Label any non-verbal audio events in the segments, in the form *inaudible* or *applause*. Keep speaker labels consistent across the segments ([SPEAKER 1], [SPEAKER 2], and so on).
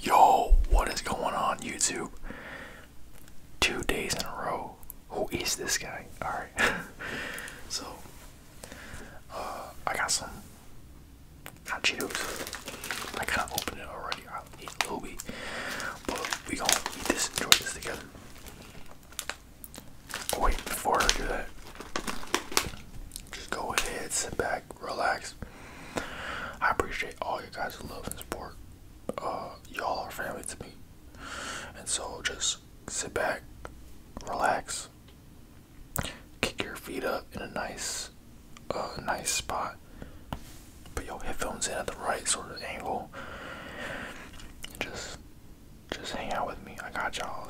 [SPEAKER 1] Yo, what is going on YouTube? Two days in a row. Who is this guy? Alright. *laughs* so uh, I got some hot Cheetos. I kinda opened it already. I'll eat a little But we gonna eat this, enjoy this together. Oh, wait, before I do that, just go ahead, sit back, relax, I appreciate all you guys' love and support. Uh, y'all are family to me. And so just sit back, relax, kick your feet up in a nice, uh, nice spot. Put your headphones in at the right sort of angle. Just, just hang out with me. I got you all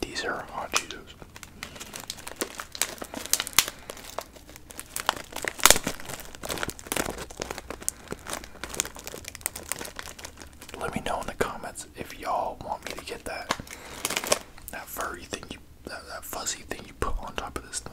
[SPEAKER 1] these are hot Cheetos. Let me know in the comments if y'all want me to get that that furry thing that, that fuzzy thing you put on top of this thing.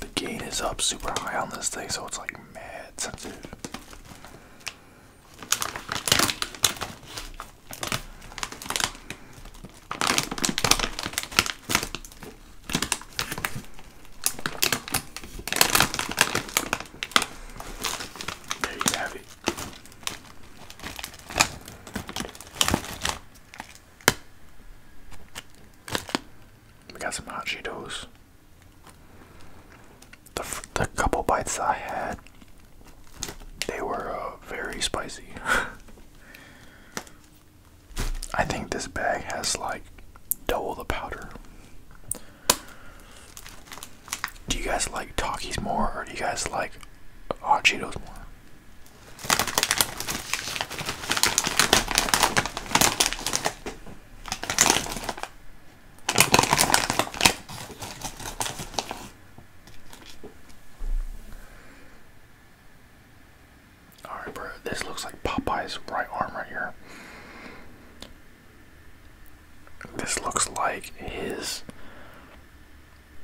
[SPEAKER 1] The gain is up super high on this thing, so it's like mad sensitive. There you have it. We got some hot Cheetos. The, the couple bites I had, they were uh, very spicy. *laughs* I think this bag has like double the powder. Do you guys like Takis more or do you guys like hot Cheetos more? Alright, bro, this looks like Popeye's right arm right here. This looks like his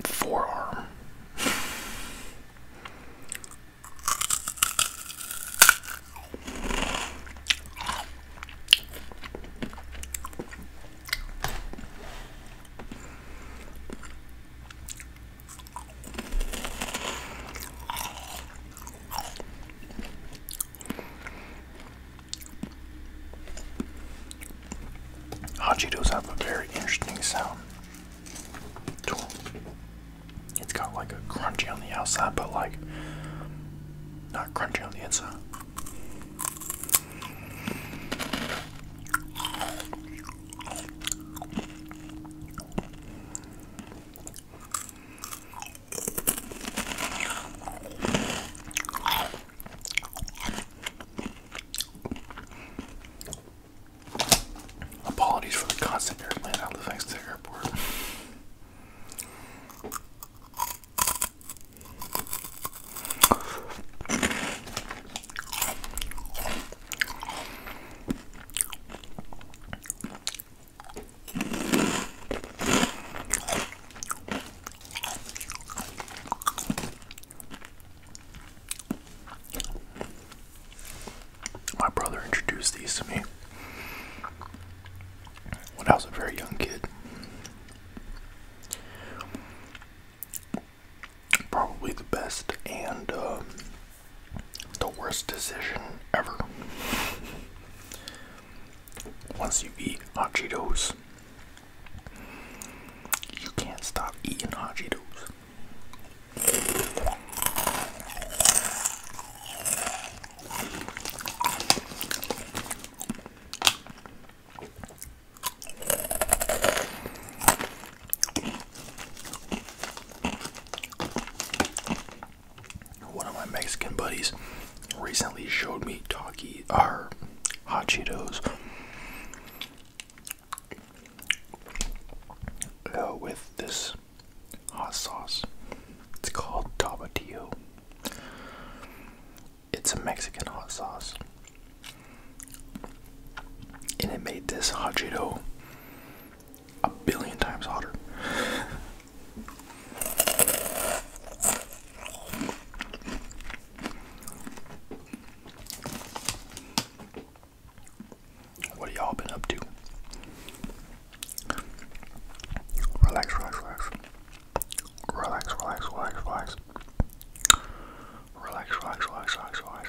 [SPEAKER 1] forearm. Hot Cheetos have a very interesting sound. It's got like a crunchy on the outside, but like not crunchy on the inside. Apologies for the constant airplane I out to the airport. My brother introduced these to me when I was a very young kid. Probably the best and um, the worst decision ever. Once you eat hot Cheetos, you can't stop eating hot Cheetos. One of my Mexican buddies recently showed me Talkie our hot Cheetos with this hot sauce. It's called Tabatillo. It's a Mexican hot sauce. And it made this hot a billion times hotter. What have y'all been up to? Relax, relax, relax. Relax, relax, relax, relax. Relax, relax, relax, relax, relax.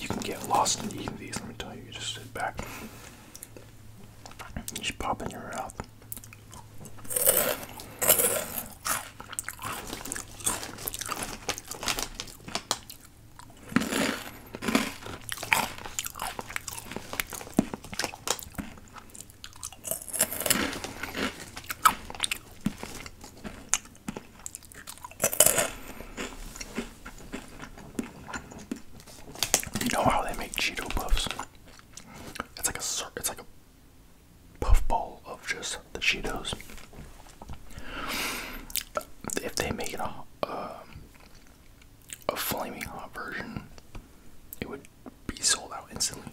[SPEAKER 1] You can get lost in eating these, let me tell you. You just sit back, you just pop in your mouth. You know how they make Cheeto puffs? It's like a it's like a puffball of just the Cheetos. If they make it a um, a flaming hot version, it would be sold out instantly.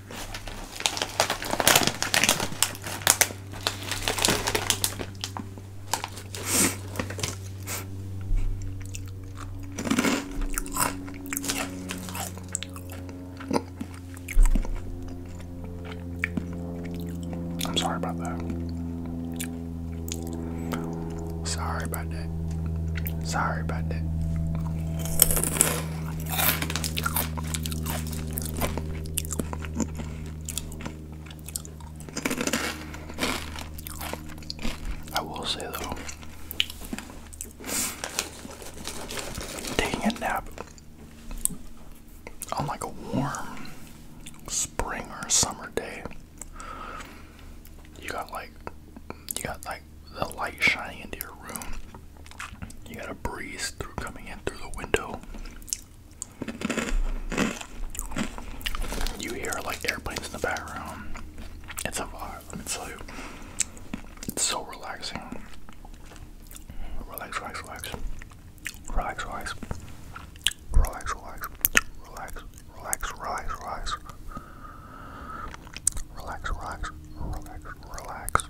[SPEAKER 1] I'm sorry about that. Sorry about that. Sorry about that. I will say though, taking a nap on like a warm spring or summer day, you got like you got like the light shining into your room you gotta breeze through coming in through the window. You hear like airplanes in the background. It's a vibe, let me tell you. It's so relaxing. Relax, relax, relax. Relax, relax. Relax, relax. Relax, relax, relax, relax. Relax, relax, relax, relax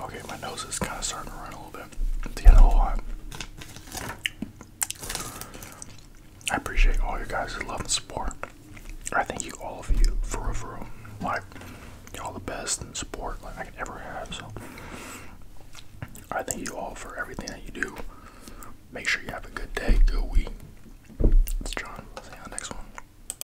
[SPEAKER 1] Okay, my nose is kind of starting to run a little bit. At the end of the lot. I appreciate all your guys' love and support. I thank you, all of you, for real, for real. Like, all the best and support like I could ever have. So, I thank you all for everything that you do. Make sure you have a good day, good week. It's John. See you on the next one.